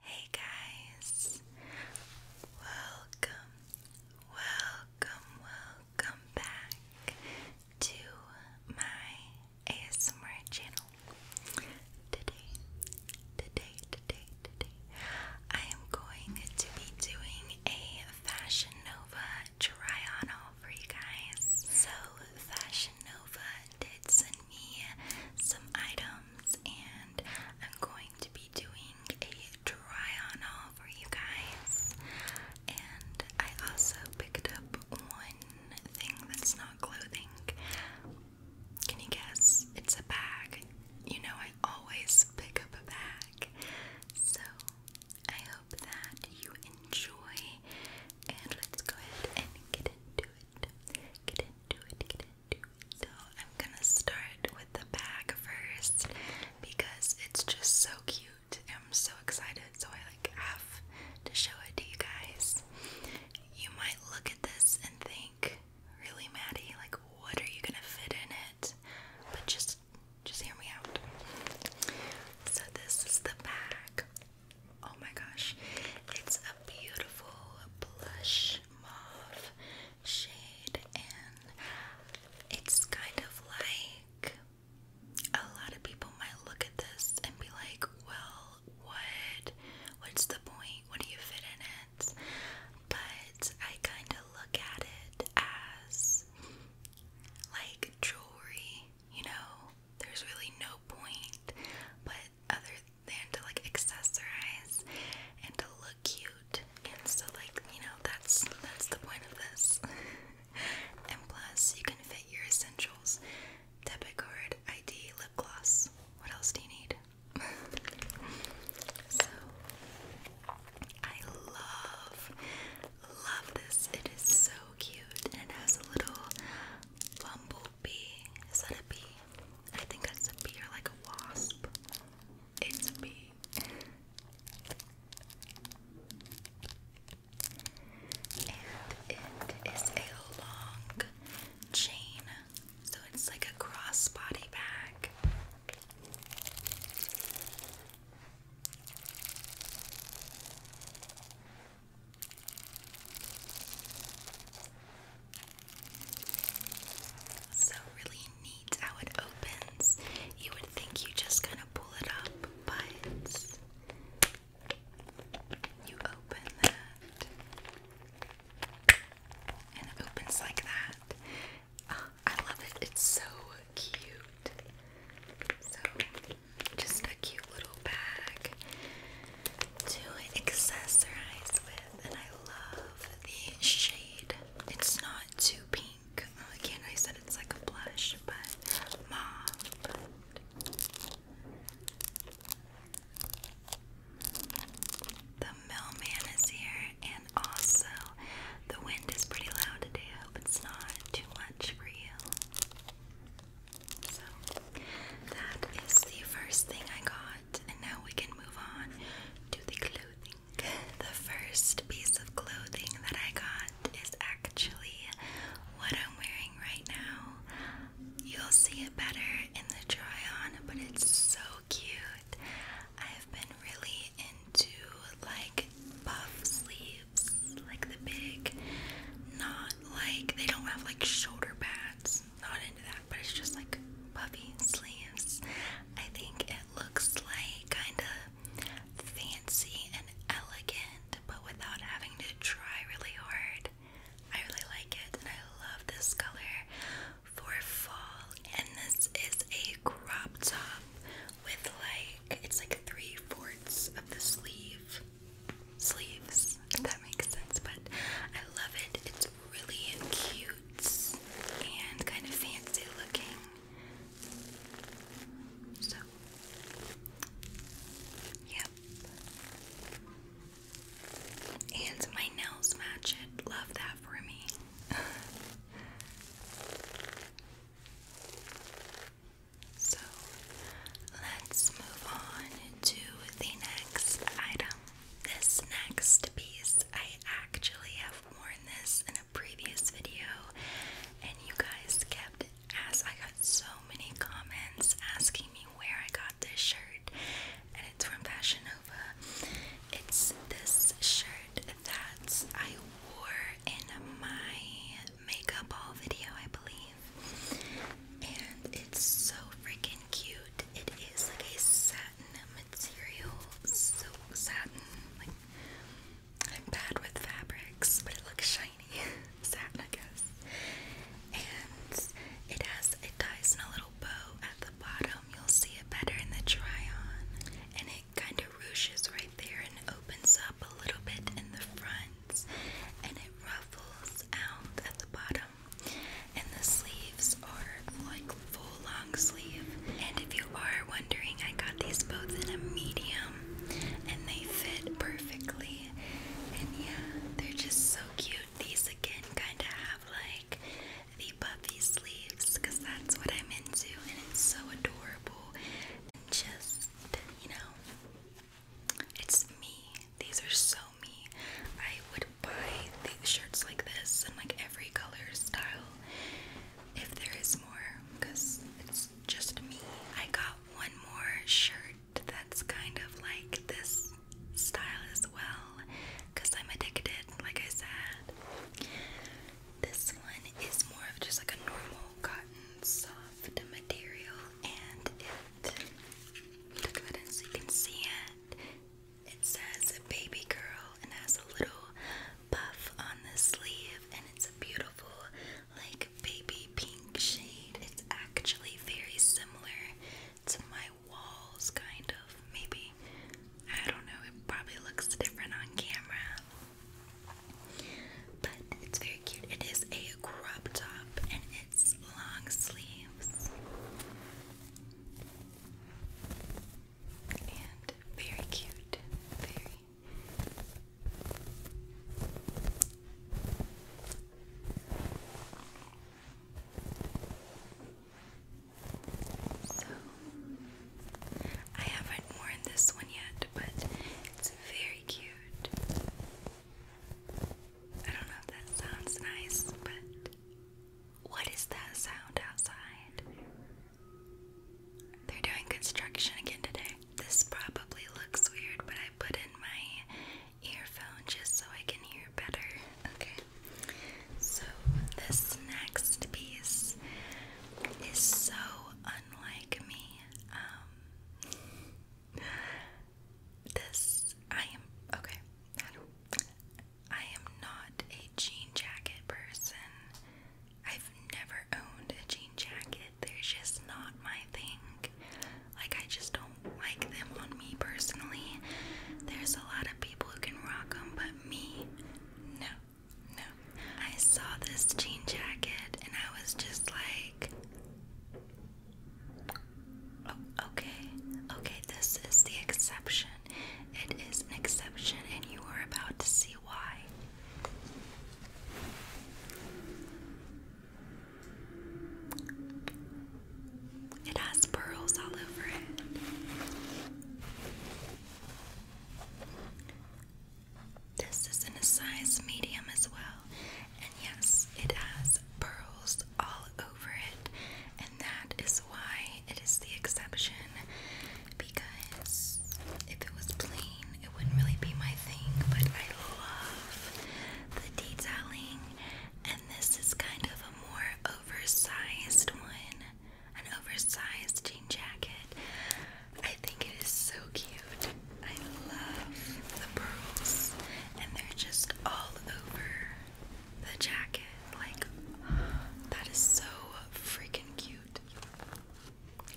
Hey guys, welcome, welcome, welcome back to my ASMR channel. Today, today, today, today, I am going to be doing a Fashion Nova try on haul for you guys. So, Fashion Nova did send some items, and I'm going to be doing a try on haul for you guys. And I also picked up one thing that's not clothing. Can you guess? It's a bag. You know, I always pick up a bag. So I hope that you enjoy, and let's go ahead and get into it. Get into it, get into it. So I'm gonna start with the bag first because it's just so cute. I'm so excited, so I like have to show it to you guys. You might look at this and think, really Maddie, like what are you gonna fit in it? But just just hear me out. So this is the bag. Oh my gosh. It's a beautiful blush rich shade, and it's kind of like a lot of people might look at this and be like, "Well, what? What's the point? What do you fit in it?" But I kind of look at it as like jewelry, you know. There's really no point, but other than to like accessorize and to look cute. And so like, you know, that's that's the point of this. and plus you can fit your essentials. Debit card, ID, lip gloss. What else do you need? so I love love this. It is so cute and it has a little bumble bee. Is that a bee? I think that's a bee or like a wasp. It's a bee. And it is a long chain, so it's like a crossbody bag. So really neat how it opens. You would think you just kind of pull it up, but you open that and it opens like that. Ah, I love it. It's so cute. So just a cute little bag to accessorize with, and I love the shade. It's not too pink. again, I said it's like a blush, but mauve. the mailman is here, and also the wind is pretty loud today. hope it's not too much for you. So, that is the first thing I got. And now we can move on to the clothing. The first piece of clothing that I got is actually what I'm wearing right now. You'll see it better in the try on, but it's so cute. I've been really into like puff sleeves, like the big, not like they don't have like shoulder pads, not into that, but it's just like puffy sleeves. I think it looks like kind of fancy and elegant, but without having to try really hard. I really like it, and I love this color for fall. And this is a crop top with like it's like three fourths of the sleeve sleeves that makes sense, but I love it. It's really cute and kind of fancy looking. So, yep. And my nails match it. Love that for me. so, let's move on to the next item. This next piece, I actually have worn this in a previous video, and you guys kept as I got so many comments asking me where I got this shirt, and it's from Fashion Nova. It's this shirt that I wore in my makeup haul video, I believe, and it's so freaking cute. It is like a satin material, silk satin. Like I'm bad with fabrics, but it looks shiny. satin, I guess. And it has a tie and a little bow at the bottom. You'll see it better in the try-on. And it kind of ruches right there and opens up a little bit in the front. And it ruffles out at the bottom and the sleeves are like full long sleeve. And if you are wondering, I got these both in a medium and they fit perfectly. And yeah, they're just so cute. These again kind of have like the puffy sleeves because that's what I'm into, and it's so adorable. And just, you know, it's me. These are so me, I would buy shirts like this and like every color style if there is more because it's just me. I got one more shirt that's kind of like this style as well because I'm addicted, like I said. This one is more of just like a normal cotton soft material and it look at it so you can see it. It says baby girl and has a little puff on the sleeve and it's a beautiful like baby pink shade. It's actually very similar to my walls kind of maybe. I don't know, it probably looks different on camera. But it's very cute. It is a crop top and it's long sleeves. And very cute. Very. So, I haven't worn this one yet, but it's very cute. I don't know if that sounds nice, but what is that sound outside? They're doing construction again today. This probably looks weird, but I put in my earphone just so I can hear better. Okay. So, this next piece is so unlike me. Um, this, I am, okay, I am not a jean jacket person. I've never owned a jean jacket. They're just not my thing. Like, I just don't like them on me personally. There's a lot of people who can rock them, but me, no, no. I saw this jean jacket and I was just like, okay, okay, this is the exception. It is an exception, and you are about to see why. It has pearls all over it. This is in a size medium as well, and yes, it has pearls all over it, and that is why it is the exception. Because if it was plain, it wouldn't really be my thing, but I love the detailing, and this is kind of a more oversized one an oversized jean jacket. I think it is so cute. I love the pearls, and they're just all over the jacket. Like, that is so freaking cute.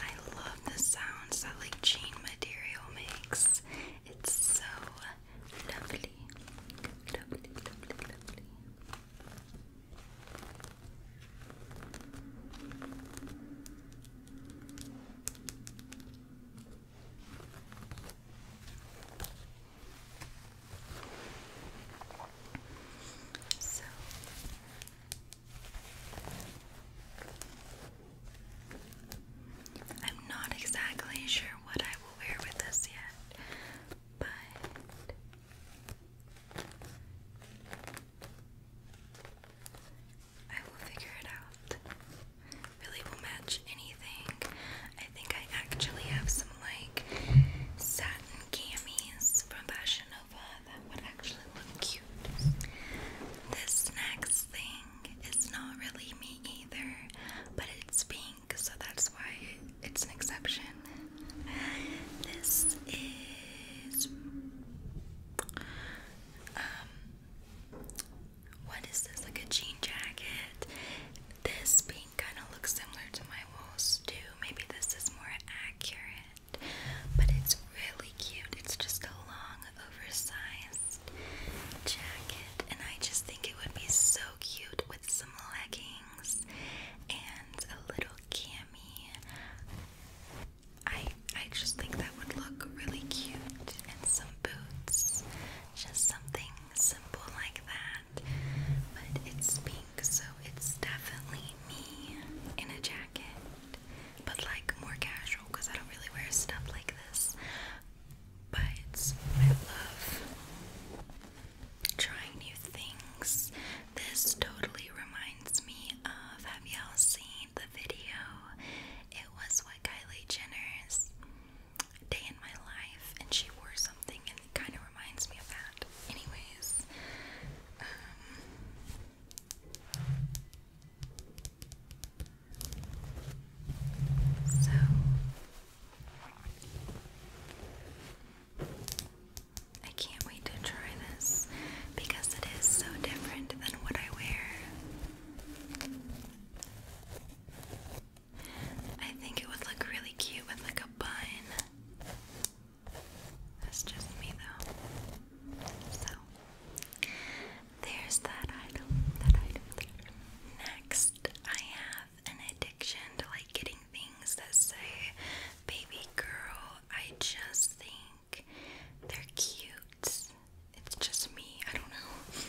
I love the sounds that like jean material makes. It's so lovely. Lovely, lovely, lovely. I'm not exactly sure what I will wear with this yet, but I will figure it out. Really will match any anything. I think I actually have some like satin camis from Fashion Nova that would actually look cute. This next thing is not really me either, but it's pink, so that's why it's an exception. This is um what is this? Like a jean jacket. This being kind of looks similar to my walls too. Maybe this is more accurate, but it's really cute. It's just a long, oversized jacket, and I just think it would be so cute with some leggings and a little cami. I I just think that would look really cute, and some boots. Just something simple like that. But it's pink, so it's definitely me in a jacket, but like more casual because I don't really wear stuff like this. But I love trying new things. This totally reminds me of have y'all seen the video? It was what Kylie Jenner's day in my life, and she wore something, and it kind of reminds me of that. Anyways, um, so. I can't wait to try this because it is so different than what I wear. I think it would look really cute with like a bun. That's just me though. So there's that item, that item, Next, I have an addiction to like getting things that say baby girl. I just think they're cute. It's just me, I don't know.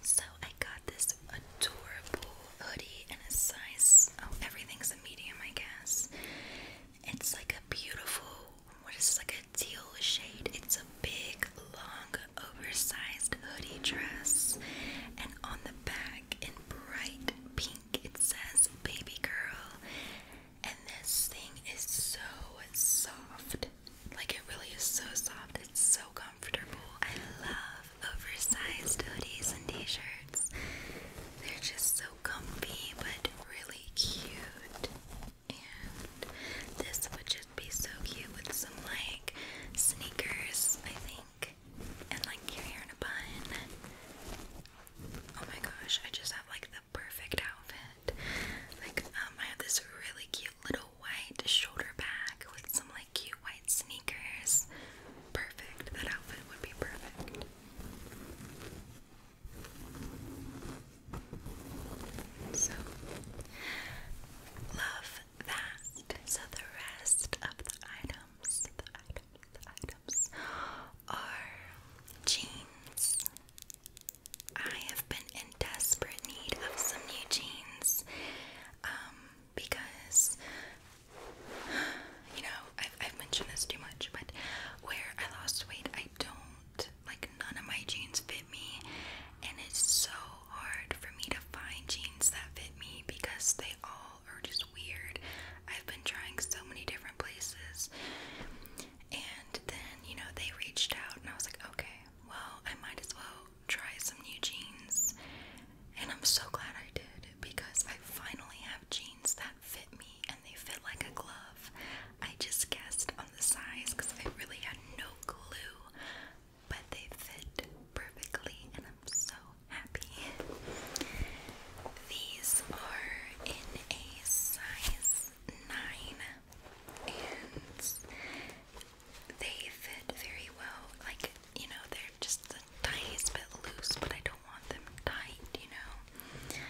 So I got this adorable hoodie in a size, oh, everything's a medium, I guess. It's like a beautiful, what is this, like a teal shade. It's a big, long, oversized hoodie dress. And on the back, in bright pink, it says baby girl. And this thing is so soft. Like, it really is so soft. It's so comfortable. I love oversized hoodies and t-shirts. They're just so comfy but really cute. And this would just be so cute with some like sneakers, I think. And like your hair in a bun. Oh my gosh, I just have like the perfect outfit. Like, um, I have this really cute little white shoulder bag with some like cute white sneakers. Perfect. That outfit would be perfect. So, love that. So, the rest of the items are jeans. I have been in desperate need of some new jeans. Um, because you know I've, mentioned this too much, but where I lost weight, I don't like none of my jeans fit me, and it's so hard for me to find jeans that fit me because they all are just weird. I've been trying so many different places, and then you know they reached out, and I was like, okay, well, I might as well try some new jeans. And I'm so glad I did because I finally have jeans that fit me and they fit like a glove. I just guessed on the size because I really had no clue, but they fit perfectly and I'm so happy. These are in a size 9 and they fit very well. Like, you know, they're just the tiniest bit loose, but I don't want them tight, you know.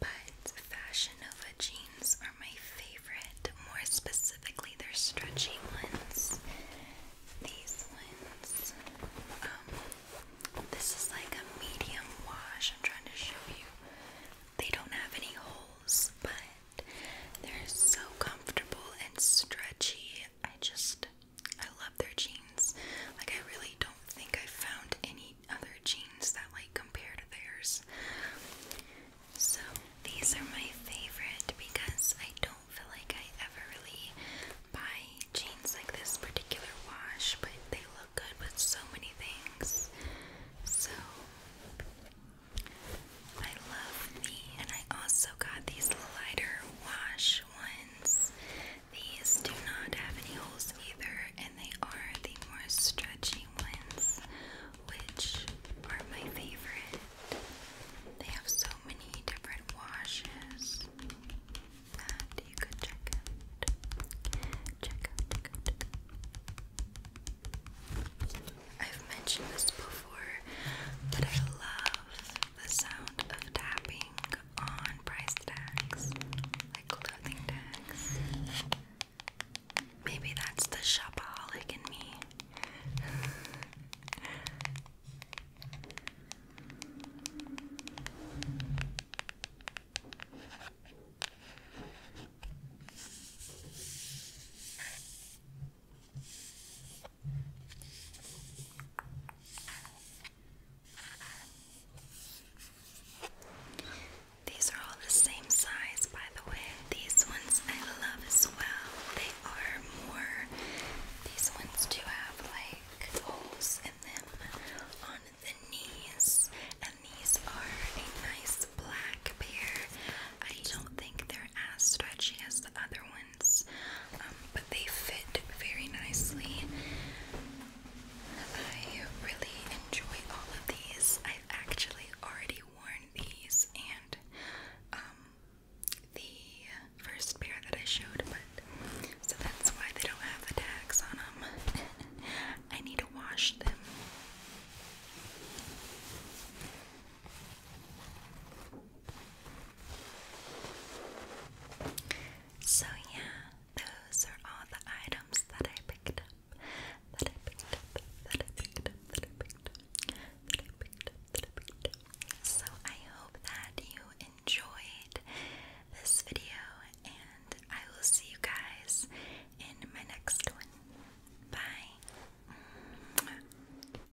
But Fashion Nova jeans are my favorite, more specifically they're stretchy ones. These ones. Um, this is like a medium wash. I'm trying to show you. They don't have any holes, but they're so comfortable and stretchy I just I love their jeans. Like I really don't think I found any other jeans that like compare to theirs. So these are my favorite because I don't feel like I ever really buy jeans like this particular wash, but they look good with so many things. So I love me, and I also got these lighter wash ones. These do not have any holes either, and they are the more stretchy ones, which are my favorite. They have so many different washes that you could check out. Check out, I've mentioned this before, but I love the sound of tapping on price tags, like clothing tags. Maybe that's the shopaholic in me. These are all the same size, by the way. These ones I love as well. They are more, these ones do have like holes in them on the knees, and these are a nice black pair. I don't think they're as stretchy as the other ones ones, um, but they fit very nicely. I really enjoy all of these. I've actually already worn these and um, the first pair that I showed, but so that's why they don't have the tags on them. I need to wash them. So yeah, those are all the items that I picked up. That I picked up. That I picked up. That I picked up. That I picked up. That I picked up. So I hope that you enjoyed this video, and I will see you guys in my next one. Bye.